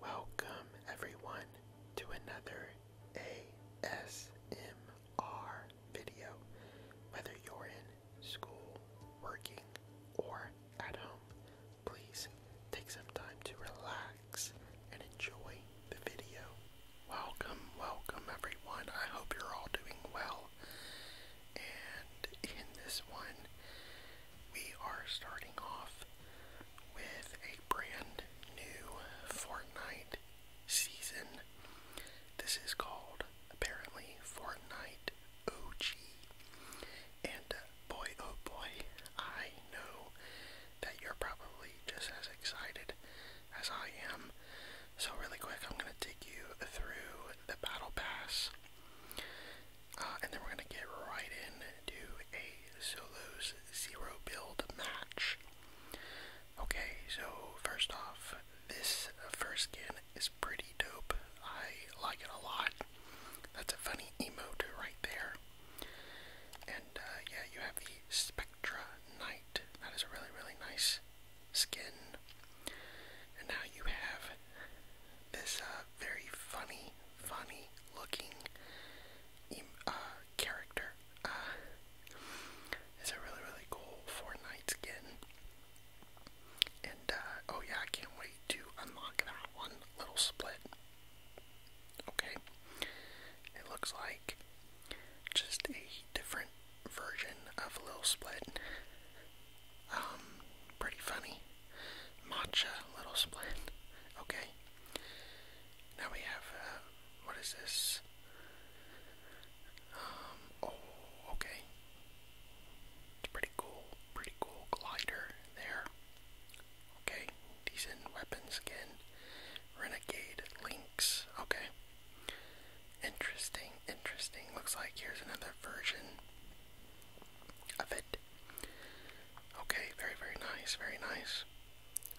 Welcome, everyone, to another ASMR video. Whether you're in school, working, or at home, please take some time to relax and enjoy the video. Welcome, welcome, everyone. I hope you're all doing well. And in this one, we are starting off with a brand new Fortnite season. This is called apparently Fortnite OG. And uh, boy, oh boy, I know that you're probably just as excited as I am. So, really quick, I'm going to take you through the Battle Pass. Uh, and then we're going to get right into a solos zero build match. Okay, so first off, this first skin is pretty dope. I like it a lot. That's a funny emo too, right there. And uh, yeah, you have the Spectra Knight. That is a really, really nice skin. And now you have this uh, very funny funny looking uh, character. Uh, it's a really, really cool Fortnite skin. And, uh, oh yeah, I can't wait to unlock that one little split. Okay. It looks like just a different version of Lil Split. Um, pretty funny. Matcha Little Split. Okay. Now we have, uh, what is this? Um, oh, okay. It's pretty cool, pretty cool glider there. Okay, decent weapons again. Renegade Lynx, okay. Interesting, interesting. Looks like here's another version of it. Okay, very, very nice, very nice.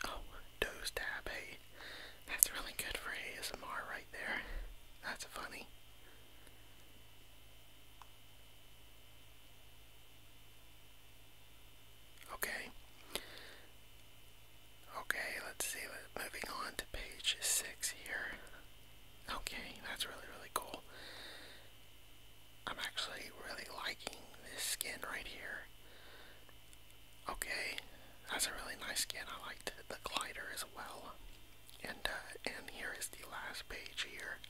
Oh, Doze Tab, hey. That's really good for ASMR right there. That's funny. Okay. Okay, let's see. Moving on to page six here. Okay, that's really, really cool. I'm actually really liking this skin right here. Okay, that's a really nice skin. I liked the glider as well. And uh, and here is the last page here.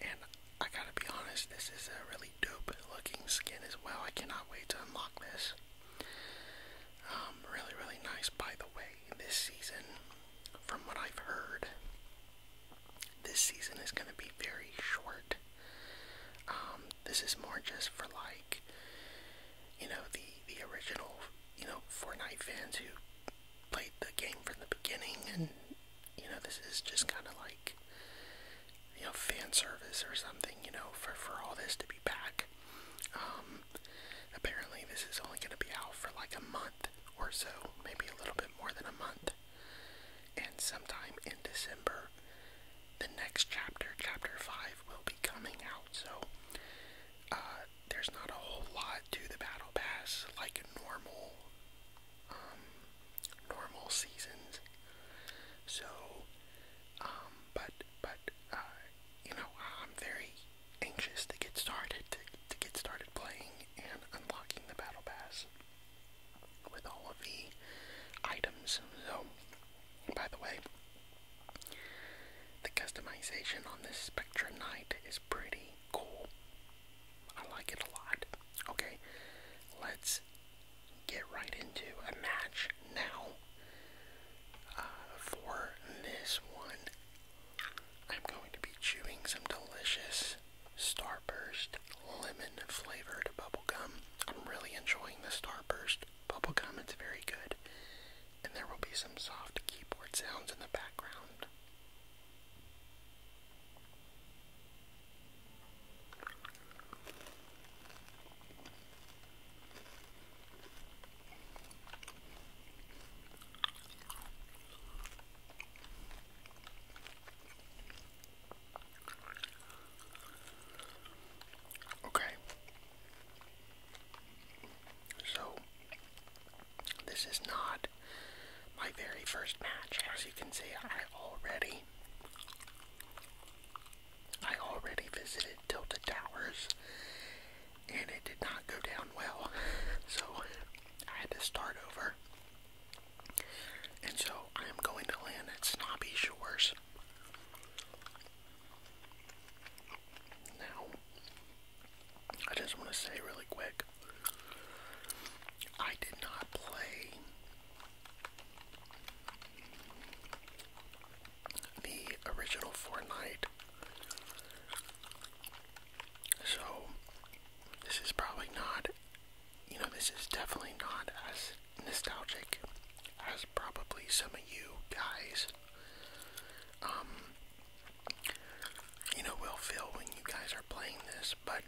And I gotta be honest, this is a really dope looking skin as well. I cannot wait to unlock this. Um, really, really nice. By the way, this season, from what I've heard, this season is going to be very short. Um, this is more just for like, you know, the the original, you know, Fortnite fans who played the game from the beginning, and you know, this is just kind of like, you know, fan service or something, you know, for for all this to be back. Um, apparently, this is only going to be out for like a month or so, maybe a little bit more than a month and sometime in December, the next chapter, chapter 5, will be coming out. So, uh, there's not a whole lot to the Battle Pass like normal, um, normal seasons. So, um, but, but, uh, you know, I'm very anxious to get started, to, to get started playing and unlocking the Battle Pass with all of the items. So, by the way, the customization on this Spectra Knight is pretty cool. I like it a lot. Okay, let's get right into a match now. Uh, for this one, I'm going to be chewing some delicious Starburst lemon flavored gum. I'm really enjoying the Starburst bubblegum, it's very good. And there will be some soft keyboard sounds in the background. Okay. So, this is not my very first match. As you can see, I already. I already visited Tilted Towers and it did not go down well. So I had to start over. And so I am going to land at Snobby Shores. Now, I just want to say really quick I did not play the original Fortnite. So, this is probably not you know, this is definitely not as nostalgic as probably some of you guys. Um, you know, will feel when you guys are playing this, but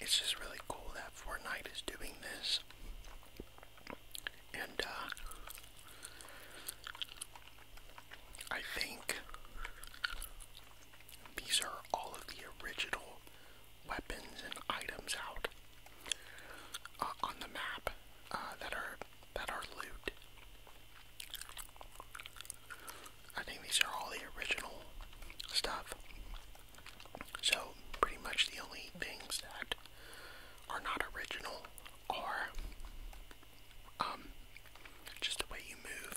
it's just really cool that Fortnite is doing this. And, uh, I think these are all of the original weapons and items out uh, on the map uh, that are that are loot. I think these are all the original stuff. So pretty much the only things that are not original are um, just the way you move,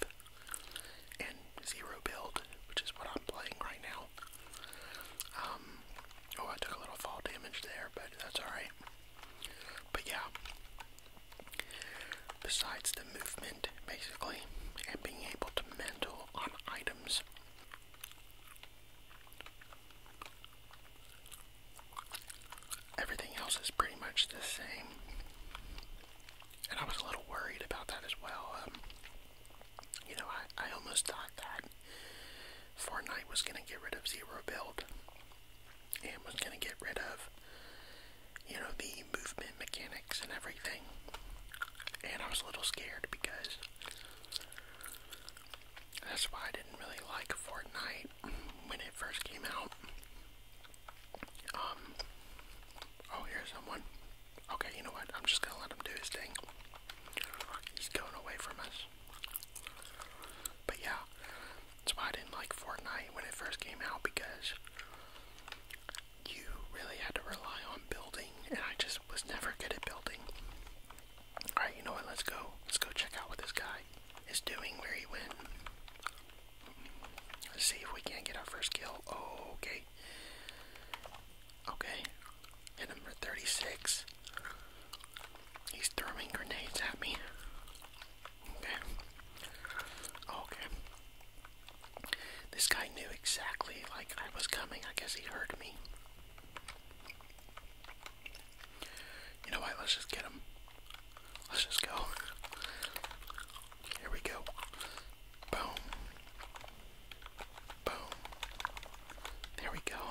and zero build, which is what I'm playing right now. Um, oh, I took a little fall damage there, but that's alright. But yeah, besides the movement, basically, and being able to mantle on items. Everything else is pretty much the same. And I was a little worried about that as well. Um, you know, I, I almost thought that Fortnite was going to get rid of zero build and was going to get rid of, you know, the movement mechanics and everything. And I was a little scared because that's why I didn't really like Fortnite when it first came out. Um, oh, here's someone. Okay, you know what? I'm just gonna let him do his thing. He's going away from us. But yeah, that's why I didn't like Fortnite when it first came out because you really had to rely on building, and I just was never good at building. Alright, you know what? Let's go. Let's go check out what this guy is doing where he went. Let's see if we can't get our first kill. okay. Okay. Hit him 36. He's throwing grenades at me. Okay. Okay. This guy knew exactly like I was coming. I guess he heard me. You know what? Let's just get him. Let's just go. Here we go. Boom. Boom. There we go.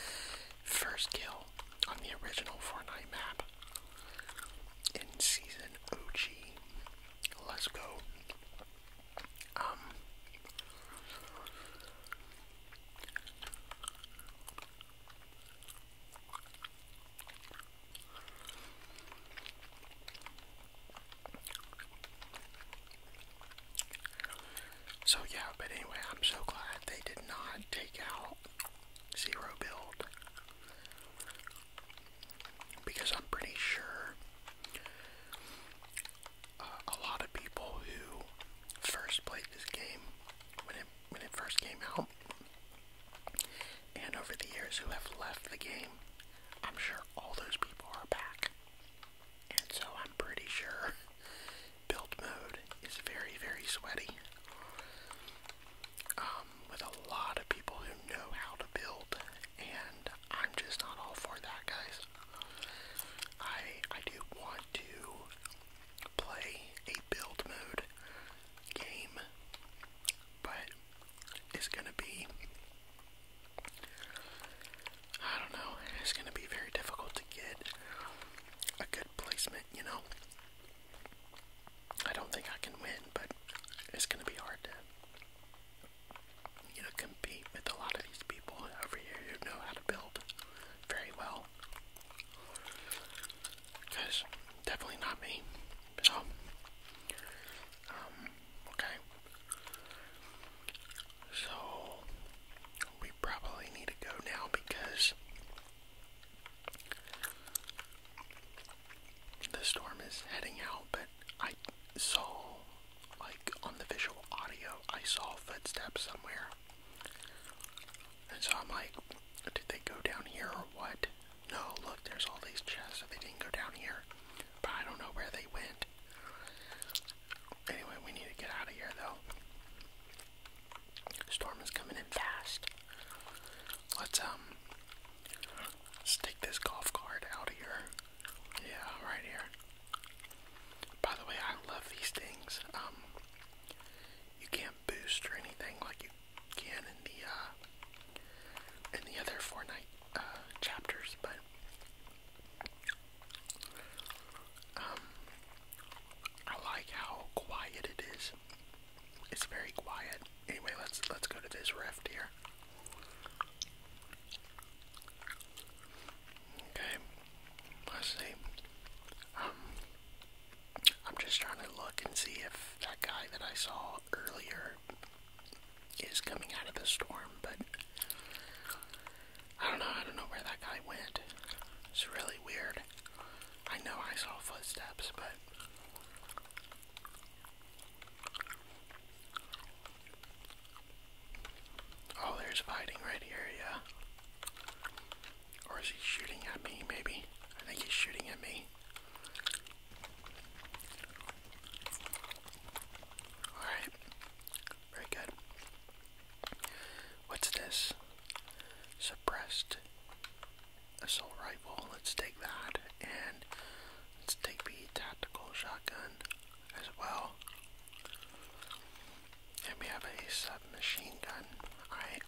First kill on the original Fortnite map in season OG. Let's go. Um. So yeah, but anyway, I'm so glad they did not take out zero build. Because I'm pretty sure uh, a lot of people who first played this game when it first came out, and over the years who have left the game, I'm sure all those people are back. And so I'm pretty sure build mode is very, very sweaty. Um, with a lot of people who know how to build, and I'm just not all for that, guys. I I do want to play a build mode game but it's gonna be I don't know, it's gonna be very difficult to get a good placement, you know. I don't think I can win, but it's gonna be hard to you know, compete with a lot of these people over here who know how to build very well. Cause definitely not me. So, um, okay. So, we probably need to go now because the storm is heading out, but I saw, like, on the visual audio, I saw footsteps somewhere. And so I'm like, did they go down here or what? No, look, there's all these chests. They didn't go down here, but I don't know where they went. Anyway, we need to get out of here, though. Storm is coming in fast. Let's, um, stick this golf cart out of here. Yeah, right here. By the way, I love these things. Um, you can boost or anything like you can in the uh, in the other Fortnite uh, chapters, but um, I like how quiet it is. It's very quiet. Anyway, let's let's go to this rift here. Okay, let's see. Um, I'm just trying to look and see if that guy that I saw out earlier is coming out of the storm, but I don't know. I don't know where that guy went. It's really weird. I know I saw footsteps, but. Oh, there's fighting right here, yeah. Or is he shooting at me, maybe? I think he's shooting at me. Alright, very good. What's this? Suppressed assault rifle. Let's take that and let's take the tactical shotgun as well. And we have a submachine gun. Alright.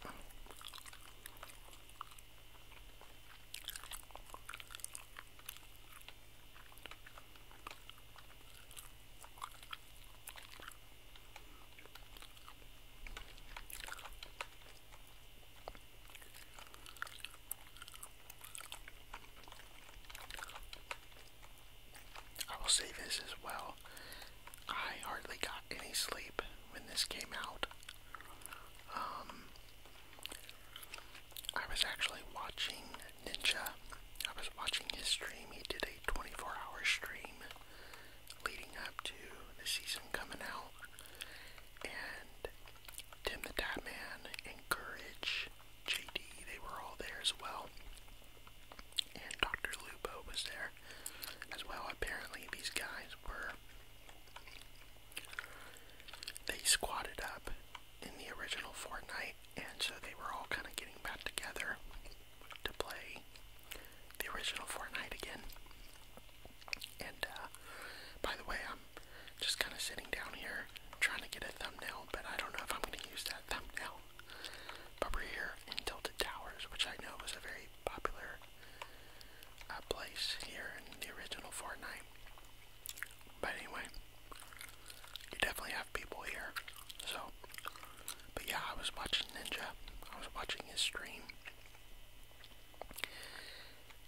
I will say this as well. I hardly got any sleep when this came out. Um, I was actually watching Ninja. I was watching his stream. He did a 24 hour stream leading up to the season coming out. And Tim the Tatman and Courage, JD, they were all there as well. And Dr. Lupo was there as well. Apparently, these guys were they squatted up in the original Fortnite, and so they were all kind of getting back together to play the original Fortnite again. And uh, by the way, I'm just kind of sitting down here trying to get a thumbnail, but I don't know if I'm going to use that thumbnail. But we're here in Tilted Towers, which I know was a very popular I place here in the original Fortnite. But anyway, you definitely have people here. So, but yeah, I was watching Ninja. I was watching his stream.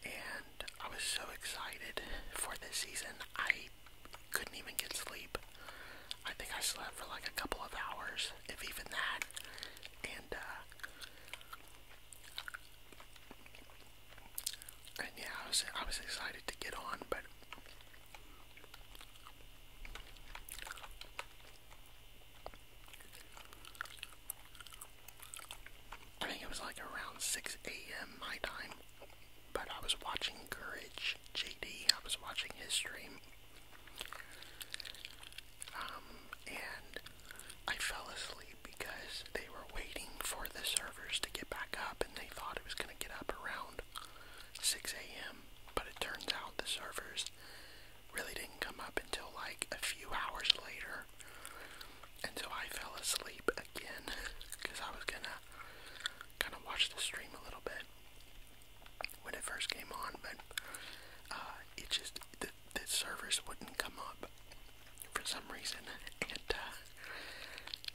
And I was so excited for this season. I couldn't even get sleep. I think I slept for like a couple of hours, if even that. And, uh, and yeah, I was excited to get on, but I think it was like around 6 a.m. my time, but I was watching Courage JD. I was watching his stream. Um, and I fell asleep because they were waiting for the servers to get back up and they thought it was going to get up around 6 a.m. But it turns out the servers really didn't come up until like a few hours later. And so I fell asleep again because I was going to kind of watch the stream a little bit when it first came on, but uh, it just, the, the servers wouldn't come up for some reason, and uh,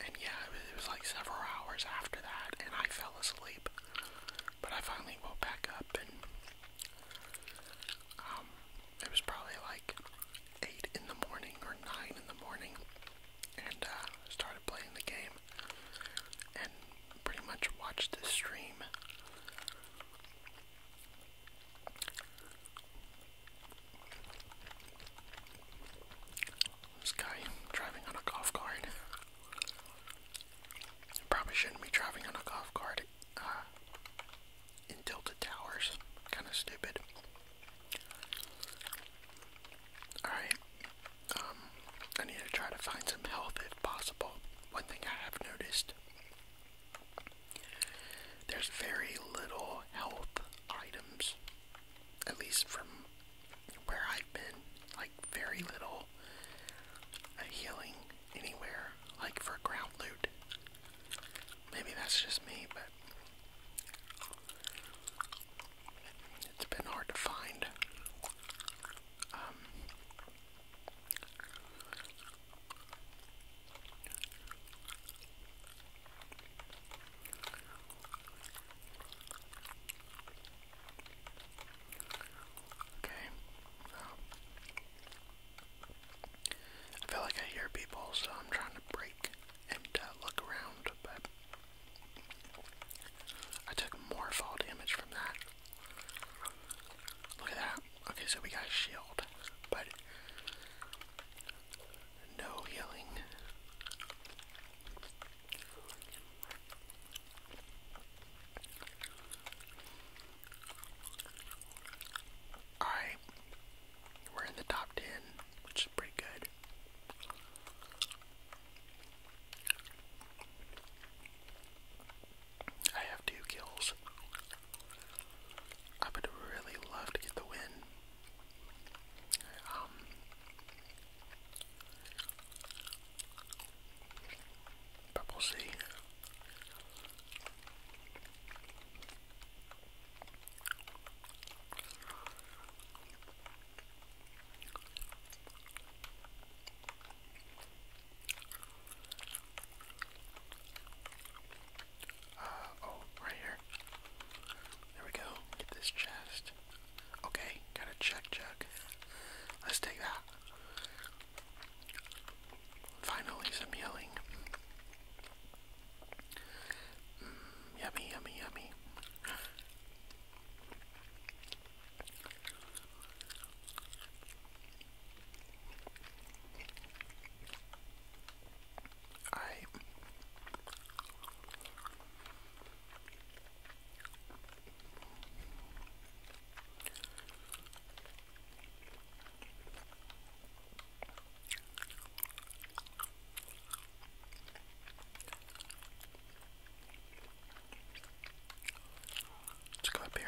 and yeah, it was, like several hours after that, and I fell asleep. But I finally woke back up, and um, it was probably like eight in the morning or nine in the morning, and uh, started playing the game, and pretty much watched the stream this guy driving on a golf cart. probably shouldn't be driving on a golf cart uh, in tilted towers. Kind of stupid. Alright. Um, I need to try to find some health if possible. One thing I have noticed there's very little health items, at least from where I've been, like very little healing anywhere, like for ground loot. Maybe that's just me, but it's been hard to find um, Okay. I feel like I hear people, so I'm trying to break and uh, look around, but I took more fall damage from that. Look at that. Okay, so we got a shield, but no yelling. Alright, we in the top 10, which is pretty good. I have two kills. I would really love to get the win. Um, but uh, oh, right here. There we go. Get this chest. Okay, got a check jug. Let's take that. Finally, some healing. Mm, yummy, yummy, yummy. Alright. Let's go up here.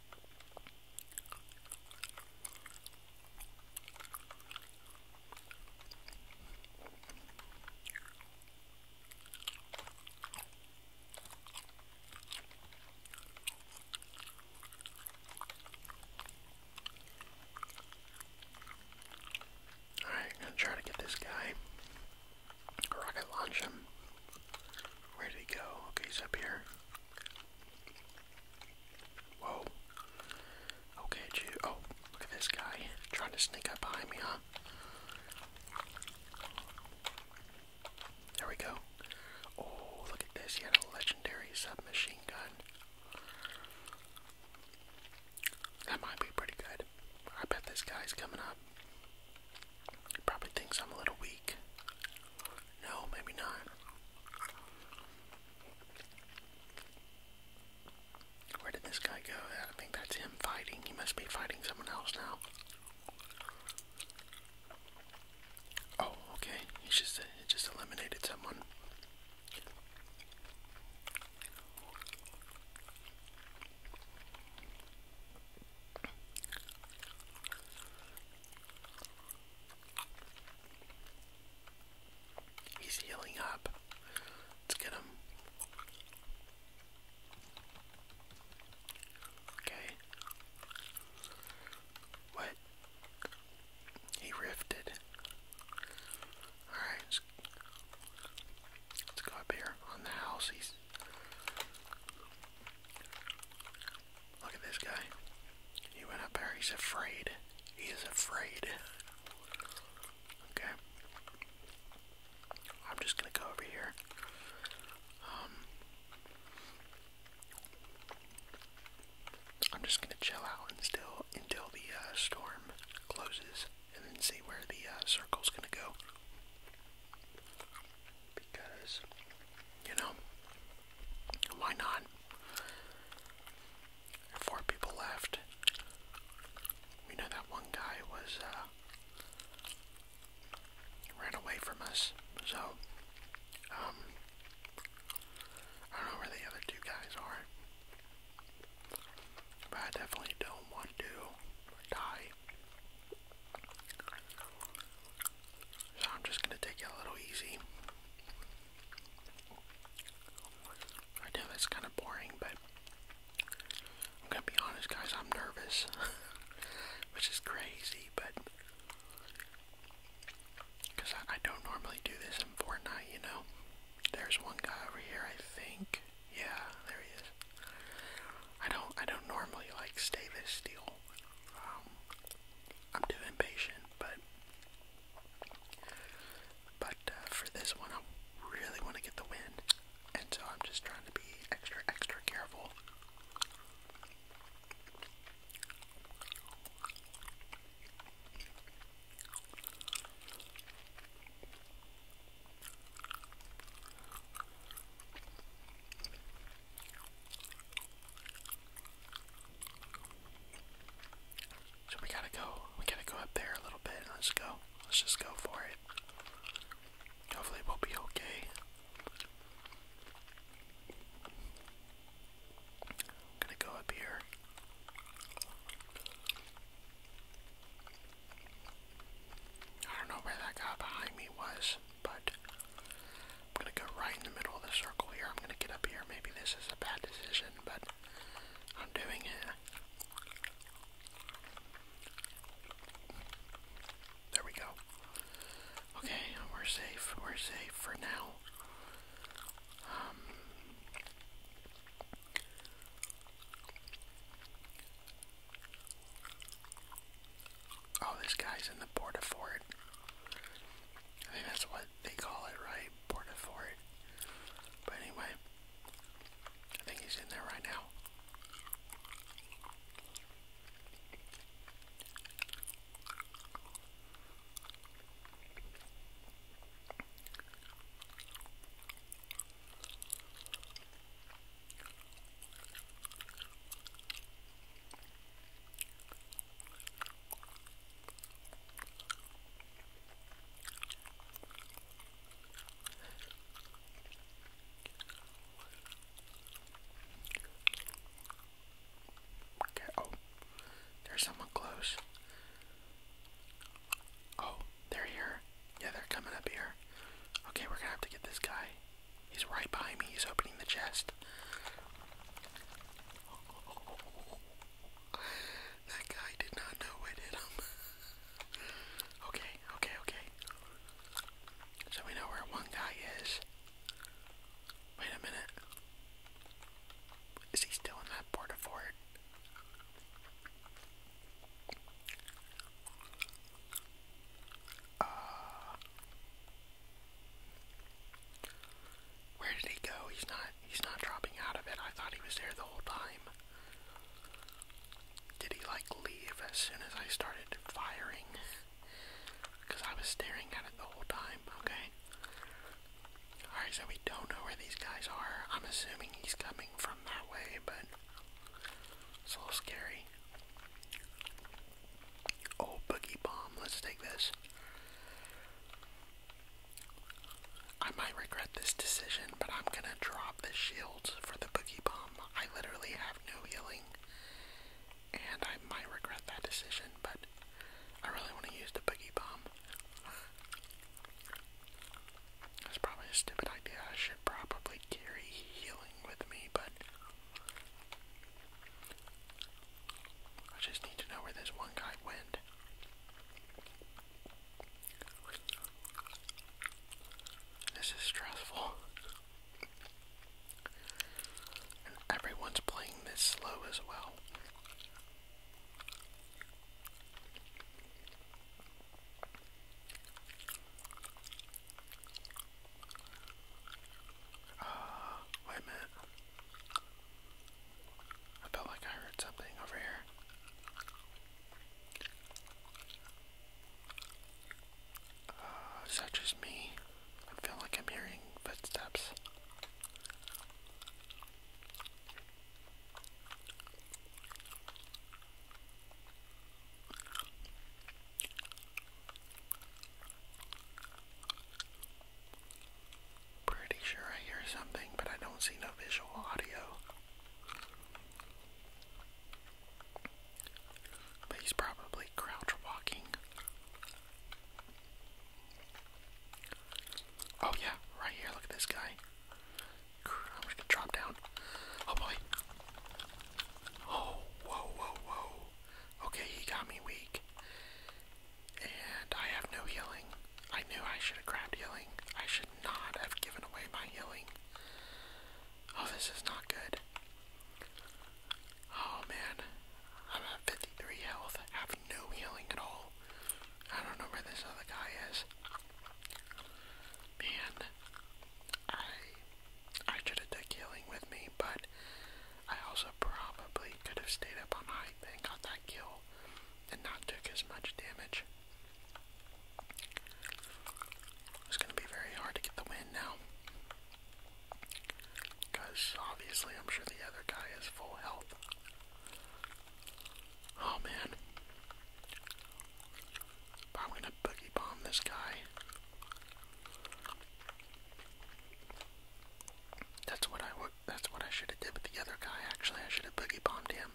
Alright, I'm gonna try to get this guy. Rocket launch him. Where did he go? Okay, he's up here. Whoa. Okay, Oh, look at this guy trying to sneak up behind me, huh? There we go. Oh, look at this. He had a legendary submachine gun. That might be pretty good. I bet this guy's coming up. He probably thinks I'm a little weak. No, maybe not. Where did this guy go? I think that's him fighting. He must be fighting someone else now. Oh, okay. He just, uh, he just eliminated someone. He's healing up. Let's get him. Okay. What? He rifted. Alright, let's, go up here on the house. Look at this guy. He went up there. He's afraid. He is afraid. Okay. I'm just gonna go over here. Um, I'm just gonna chill out and still until the uh, storm closes, and then see where the uh, circle's gonna go because you know why not? Four people left. We know that one guy was uh, ran away from us, so um, I don't know where the other two guys are. But I definitely don't want to die. So I'm just gonna take it a little easy. I know that's kind of boring, but I'm gonna be honest, guys. I'm nervous, which is crazy, but I don't normally do this in Fortnite, you know. There's one guy over here, I think. Yeah, there he is. I don't, I don't normally like stay this deal. Um, I'm too impatient, but but uh, for this one, I really want to get the win, and so I'm just trying to be extra extra careful. So we gotta go. We gotta go up there a little bit. Let's go. Let's just go for it. Hopefully we'll be okay. gonna go up here. I don't know where that guy behind me was but I'm gonna go right in the middle of the circle here. I'm gonna get up here. Maybe this is a bad decision, but I'm doing it. There we go. Okay, we're safe. We're safe for now. Um, Oh, this guy's in the port of fort. I think that's what they call it, right? Port fort. But anyway, I think he's in there right now. Okay, oh, there's someone close. Oh, they're here. Yeah, they're coming up here. Okay, we're gonna have to get this guy. He's right behind me. He's opening the chest. That guy did not know it hit him. okay, okay, okay. So we know where one guy is. Wait a minute. Is he still in that port fort? Uh, where did he go? He's not he's not dropping out of it. I thought he was there the whole time. Did he like leave as soon as I started firing? Because I was staring at it the whole time, okay? Alright, so we don't know where these guys are. I'm assuming he's coming from that way, but it's a little scary. Oh, Boogie Bomb, let's take this. I might regret this decision, but I'm gonna drop the shields for the Boogie Bomb. I literally have no healing, and I might regret that decision, but I really want to use the Boogie Bomb. That's probably a stupid idea. I should probably carry healing with me, but I just need to know where this one guy went. This is stressful. And everyone's playing this slow as well. Uh, wait a minute. I felt like I heard something over here. Uh, is me? I feel like I'm hearing footsteps. Pretty sure I hear something, but I don't see no visual audio. But he's probably crouch walking. Oh yeah, right here, look at this guy. I'm just gonna drop down. Oh boy. Oh, whoa, whoa, whoa. Okay, he got me weak. And I have no healing. I knew I should have grabbed healing. I should not have given away my healing. Oh, this is not good. Oh man, I'm at 53 health, I have no healing at all. I don't know where this other guy is. Man, I I should have took healing with me, but I also probably could have stayed up on height and got that kill and not took as much damage. It's going to be very hard to get the win now. Because obviously I'm sure the other guy is full health. Oh man. I'm going to boogie bomb this guy. That's what I would. That's what I should have did with the other guy. Actually, I should have boogie bombed him.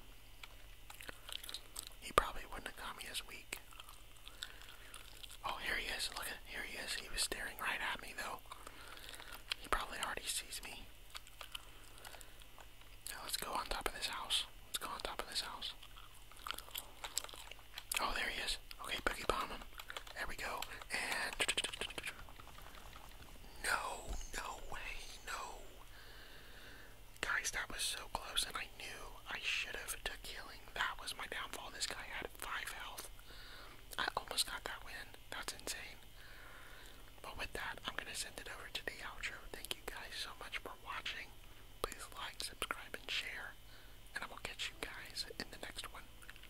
He probably wouldn't have caught me as weak. Oh, here he is. Look at here he is. He was staring right at me though. He probably already sees me. Now let's go on top of this house. Let's go on top of this house. Oh, there he is. Okay, Boogie Bomb him. There we go. And. No, no way, no. Guys, that was so close, and I knew I should have took healing. That was my downfall. This guy had 5 health. I almost got that win. That's insane. But with that, I'm going to send it over to the outro. Thank you guys so much for watching. Please like, subscribe, and share. And I will catch you guys in the next one.